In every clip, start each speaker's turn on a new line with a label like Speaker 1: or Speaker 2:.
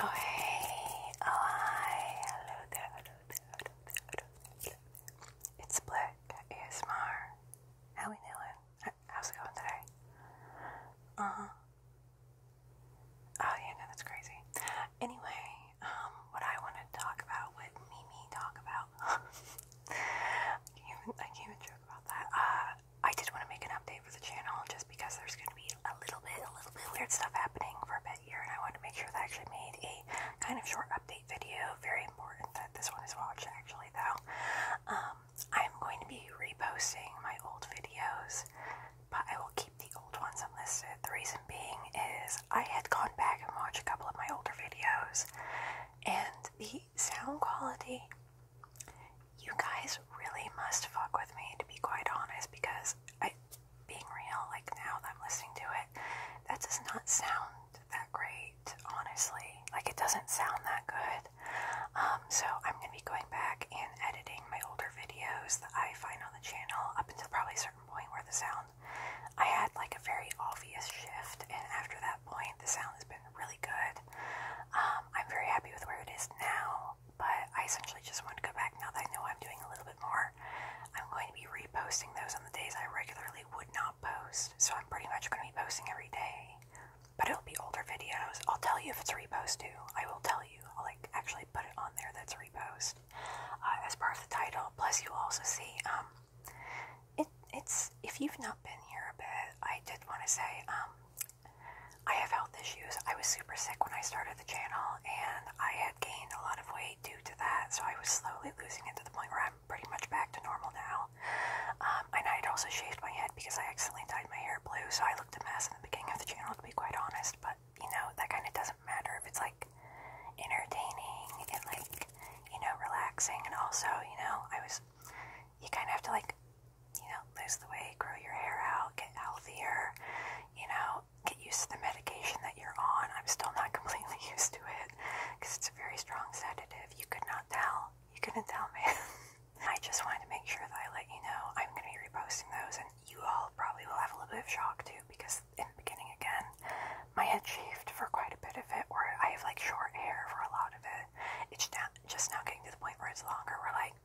Speaker 1: Oh hey, oh hi, hello there, hello there, hello there, hello there. It's Black ASMR. How we doing? How's it going today? Uh huh. Oh yeah, no, that's crazy. Anyway, um, what I want to talk about, what Mimi talk about. I can't even joke about that. Uh, I did want to make an update for the channel just because there's going to be a little bit, a little bit weird stuff happening for a bit here, and I wanted to make sure that I actually made a kind of short update video. Very important that this one is watched, actually, though. Um, I'm going to be reposting my old videos, but I will keep the old ones unlisted. The reason being is I had gone back and watched a couple of my older videos, and the sound quality you guys really must fuck with me to be quite honest because I being real, like now that I'm listening to it, that does not sound that great, honestly. Like it doesn't sound that good. Um, so I'm gonna be going back and editing my older videos that I find on the channel up until probably a certain point where the sound I had like a very obvious shift and after that point the sound has been really good. Um, I'm very happy with where it is now, but I essentially just want to go back now that I know I'm doing a little bit more. I'm going to be reposting those on the days I regularly would not post, so I'm pretty much going to be posting every day. But it'll be older videos. I'll tell you if it's a repost too. I will tell you. I'll like actually put it on there that's a repost uh, as part of the title. Plus, you will also see um, it it's if you've not been here a bit, I did want to say um I have health issues. I was super sick when I started the channel, and I had gained a lot of weight due to that. So I was slowly losing it to the point where I'm pretty much back to normal now. Um, I had also shaved my head because I accidentally dyed my hair blue, so I looked a mess in the beginning of the channel, to be quite honest. But you know, that kind of doesn't matter if it's like entertaining and like you know relaxing. And also, you know, I was because you kind of have to like, you know, lose the weight, grow your hair out, get healthier, you know, get used to the medication that you're on. I'm still not completely used to it because it's a very strong sedative. You could not tell. You couldn't tell me. I just wanted to make sure that I let you know I'm going to be reposting those, and you all probably will have a little bit of shock too because beginning again. My head shaved for quite a bit of it, where I have like short hair for a lot of it. It's now, just now getting to the point where it's longer, where like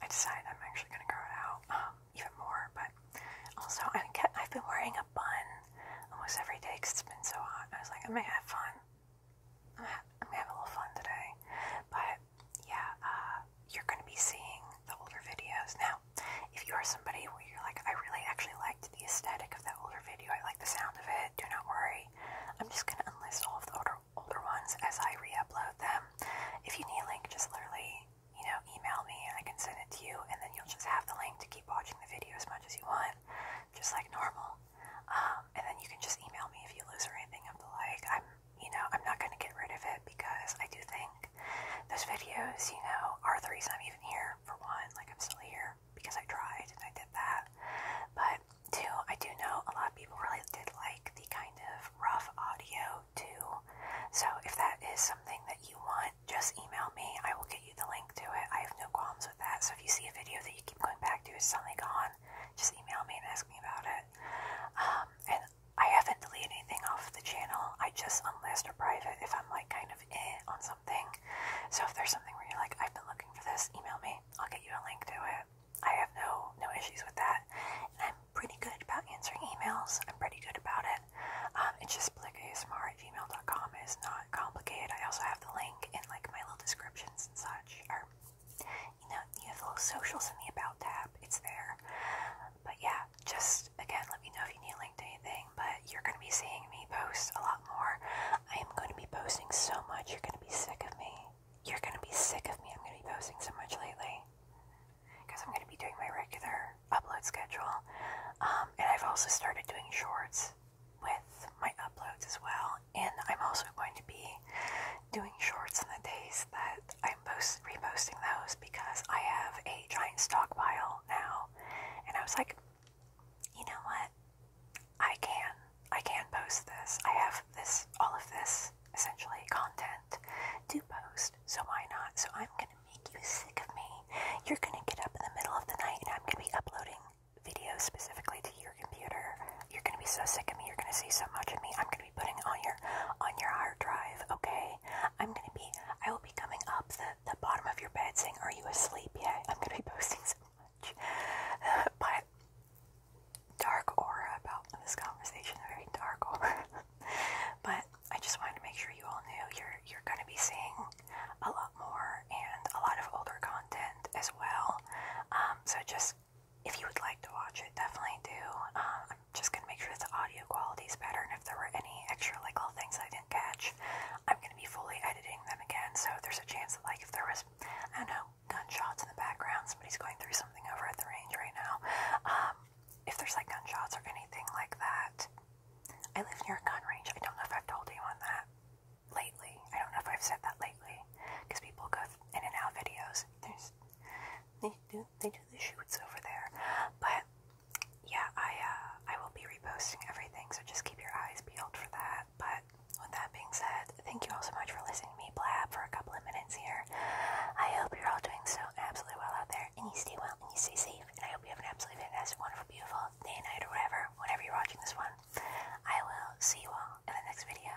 Speaker 1: I decided I'm actually going to grow it out um, even more. But also, I get, I've been wearing a bun almost every day because it's been so hot. I was like, I'm going to have fun. I'm going to have a little fun today. But yeah, uh, you're going to be seeing the older videos. Now, if you are somebody where you're like, I really actually liked the aesthetic of that older video, I like the sound of it, do not worry. I'm just going to unlist all of the older, older ones as I re upload them. If you need a link, just literally, you know, email me and I can send it to you, and then you'll just have the link to keep watching the video as much as you want, just like normal. Um, and then you can just email me if you lose or anything of the like. I'm you know, I'm not going to get rid of it because I do think those videos, you know, are the reason I'm even here, for one. Like, I'm still here because I tried and I did that. But two, I do know a lot of people really did like the kind of rough audio too. So if that is something that you want, just email me. I will get you the link to it. I have no qualms with that. So if you see a video that you keep going back to, it's suddenly gone, just email me and ask me about it. Um, and I haven't deleted anything off the channel. I just unlist or private if I'm like kind of on something. So if there's something where you're like, I've been looking for this, email me. I'll get you a link to it. I have no no issues with that. I'm pretty good about answering emails. I'm pretty good about it. Um, it's just blicasmr at gmail.com. It's not complicated. I also have the link in like my little descriptions and such, you know, you have little socials in the About tab, it's there. But yeah, just again, let me know if you need a link to anything. But you're going to be seeing me post a lot more. I am going to be posting so much, you're going to be sick of me. You're going to be sick of me. I'm going to be posting so much lately because I'm going to be doing my regular upload schedule. Um, and I've also started doing shorts with my uploads as well and I'm also going to be doing shorts in the days that I'm post reposting those because I have a giant stockpile now. And I was like, you know what? I can. I can post this. I have this, all of this, essentially, content to post. So why not? So I'm gonna make you sick of me. You're gonna get up in the middle of the night and I'm gonna be uploading video specifically to your computer. You're gonna be so sick of me. You're gonna see so much of me. I'm gonna be putting on your on your hard drive. Okay. I'm gonna be. I will be coming up the the bottom of your bed saying, "Are you asleep yet?" I'm gonna be posting so much. but dark aura about this conversation. Very dark aura. but I just wanted to make sure you all knew you're you're gonna be seeing a lot more and a lot of older content as well. Um, so just if you would like to watch it, definitely do. Um, I'm just gonna make sure the audio quality is better, and if there were any extra like little things I didn't catch, I'm gonna be fully editing them again. So there's a chance that like if there was, I don't know, gunshots in the background, somebody's going through something over at the range right now. Um, if there's like gunshots or anything like that, I live near a gun range. I don't know if I've told you on that lately. I don't know if I've said that lately, because people go in and out videos. There's, they do they do the shoots over there, but yeah, I uh, I will be reposting everything, so just keep your eyes peeled for that. But with that being said, thank you all so much for listening to me blab for a couple of minutes here. I hope you're all doing so absolutely well out there, and you stay well and you stay safe. And I hope you have an absolutely fantastic, wonderful, beautiful, day, night, or whatever, whenever you're watching this one. I will see you all in the next video.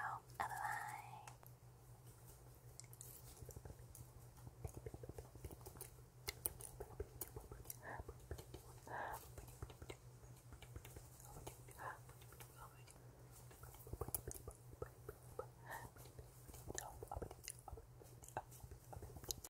Speaker 1: bye.